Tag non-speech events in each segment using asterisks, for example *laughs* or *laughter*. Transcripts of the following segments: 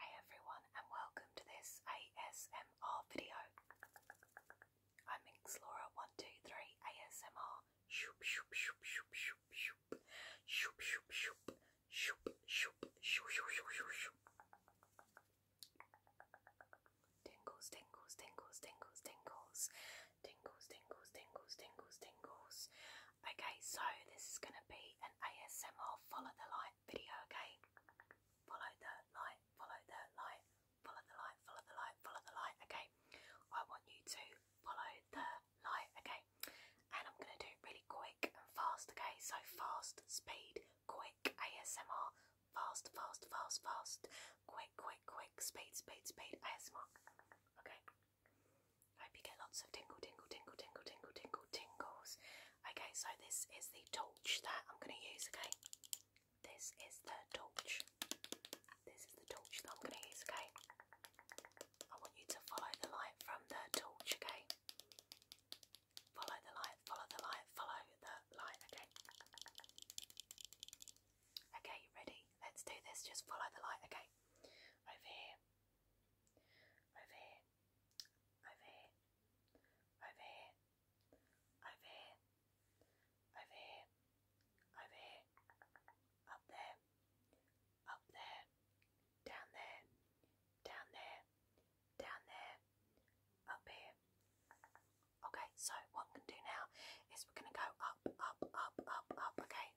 Hey everyone, and welcome to this ASMR video. I'm Minxlaura123 ASMR. Shoop, shoop, shoop, shoop, shoop, shoop, shoop, shoop, shoop, shoop, shoop, shoop, shoop, shoop, shoop. Tingles, tingles, tingles, tingles, tingles, tingles, tingles, tingles, tingles, tingles. Okay, so this is going to be an ASMR follow the light video, okay? Follow the light, follow the light, follow the light, follow the light, follow the light, okay? I want you to follow the light, okay? And I'm going to do it really quick and fast, okay? So fast, speed, quick, ASMR, fast, fast, fast, fast, quick, quick, quick, speed, speed, speed, ASMR, okay? I hope you get lots of tingle, tingle, tingle, tingle, tingle, tingle, tingles. Okay, so this is the torch that I'm going to use, okay? This is the torch. This is the torch that I'm going to use, okay? I want you to follow the light from the torch, okay? Follow the light, follow the light, follow the light, okay? Okay, you ready? Let's do this. Just follow the light, okay? over here, over here, over here, over here, over here, over here, over here, up there, up there, down there, down there, down there, up here. Okay, so what I'm going to do now is we're going to go up, up, up, up, up, okay?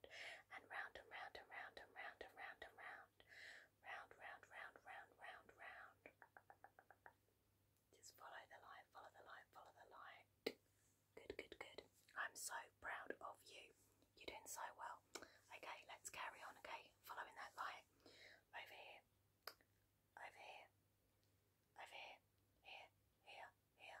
and round and round and round and round and round and round. Round, round, round, round, round, round. Just follow the light, follow the light, follow the light. Good, good, good. I'm so proud of you. You're doing so well. Okay, let's carry on, okay? Following that light. Over here. Over here. Over here. Here, here, here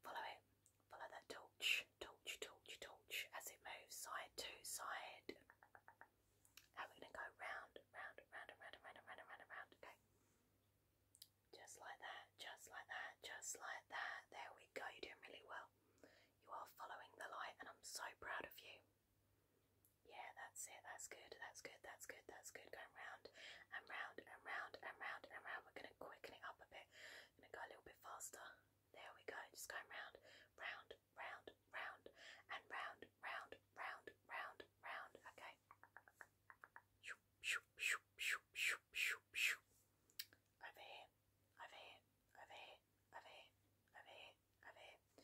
Follow it. Follow that torch, torch, torch, torch as it moves side to side. And we're going to go round, round, round, round, round, round, round, round. Okay. Just like that, just like that, just like that. There we go. You're doing really well. You are following the light, and I'm so proud of you. Yeah, that's it. That's good. That's good. That's good. That's good. Going round and round and round and round and round. We're going to quicken it up a bit. going to go a little bit faster. There we go. Just going round, round, round, round, and round, round, round, round, round. Okay. Over here, over here, over here, over here, over here, over here.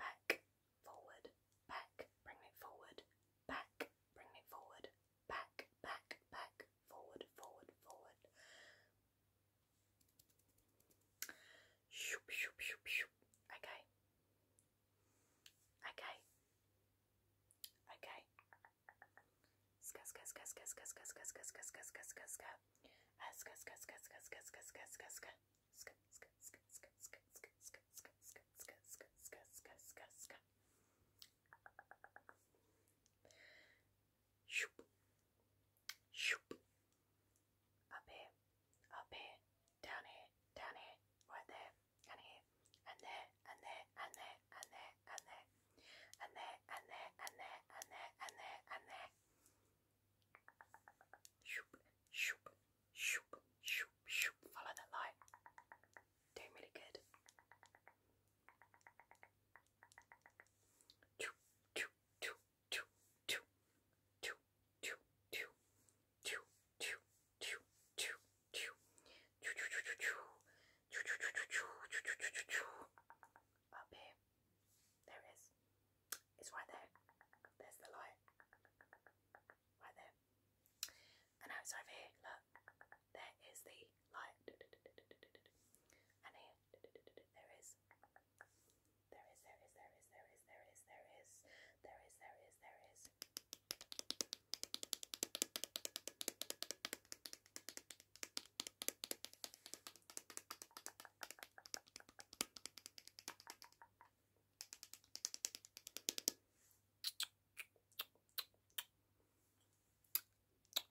Back, forward, back, bring it forward, back, bring it forward, back, back, back, forward, forward, forward. Shoop, shoop, shoop, shoop. Okay. Okay. Okay. Ska, ska, ska, ska, ska, ska, ska, ska, ska, ska, ska, ska, ska. Ska, ska, ska, ska, ska, ska, ska, ska, ska. Ska, ska, ska, ska, ska, ska, ska, ska, ska, ska, ska, ska, ska, ska, ska shoop, shoop, up here, up here, down here, down here, right there, and here, and there, and there, and there, and there, and there, and there, and there, and there, and there, and there, shoop, shoop, shoop, shoop, shoop, follow that light. Doing really good. Up here. There it is. It's right there. There's the light. Right there. And now it's over here. Look there is the light, *laughs* and here there is, there is, there is, there is, there is, there is, there is, there is, there is,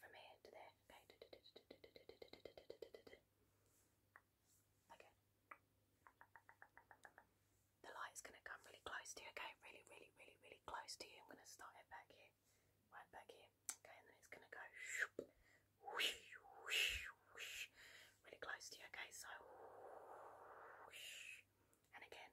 from here to there. Okay. The light's gonna come really close to you. Okay, really, really, really, really close to you. I'm gonna start it back here, right back here. Okay, and then it's gonna go really close to you. Okay, so and again.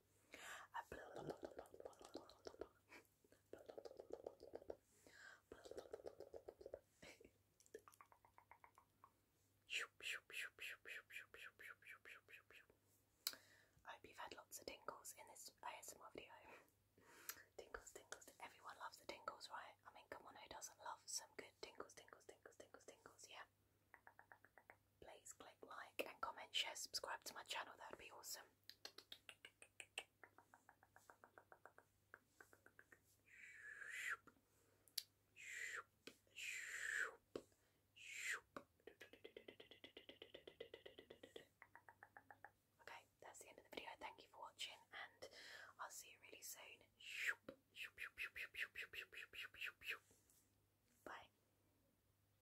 I hope you've had lots of tingles in this ASMR video. Tingles, tingles, everyone loves the tingles, right? I mean, come on, who doesn't love some good tingles, tingles, tingles, tingles, tingles, yeah? please click like and comment, share, subscribe to my channel, that would be awesome. Okay, that's the end of the video. Thank you for watching, and I'll see you really soon. Bye.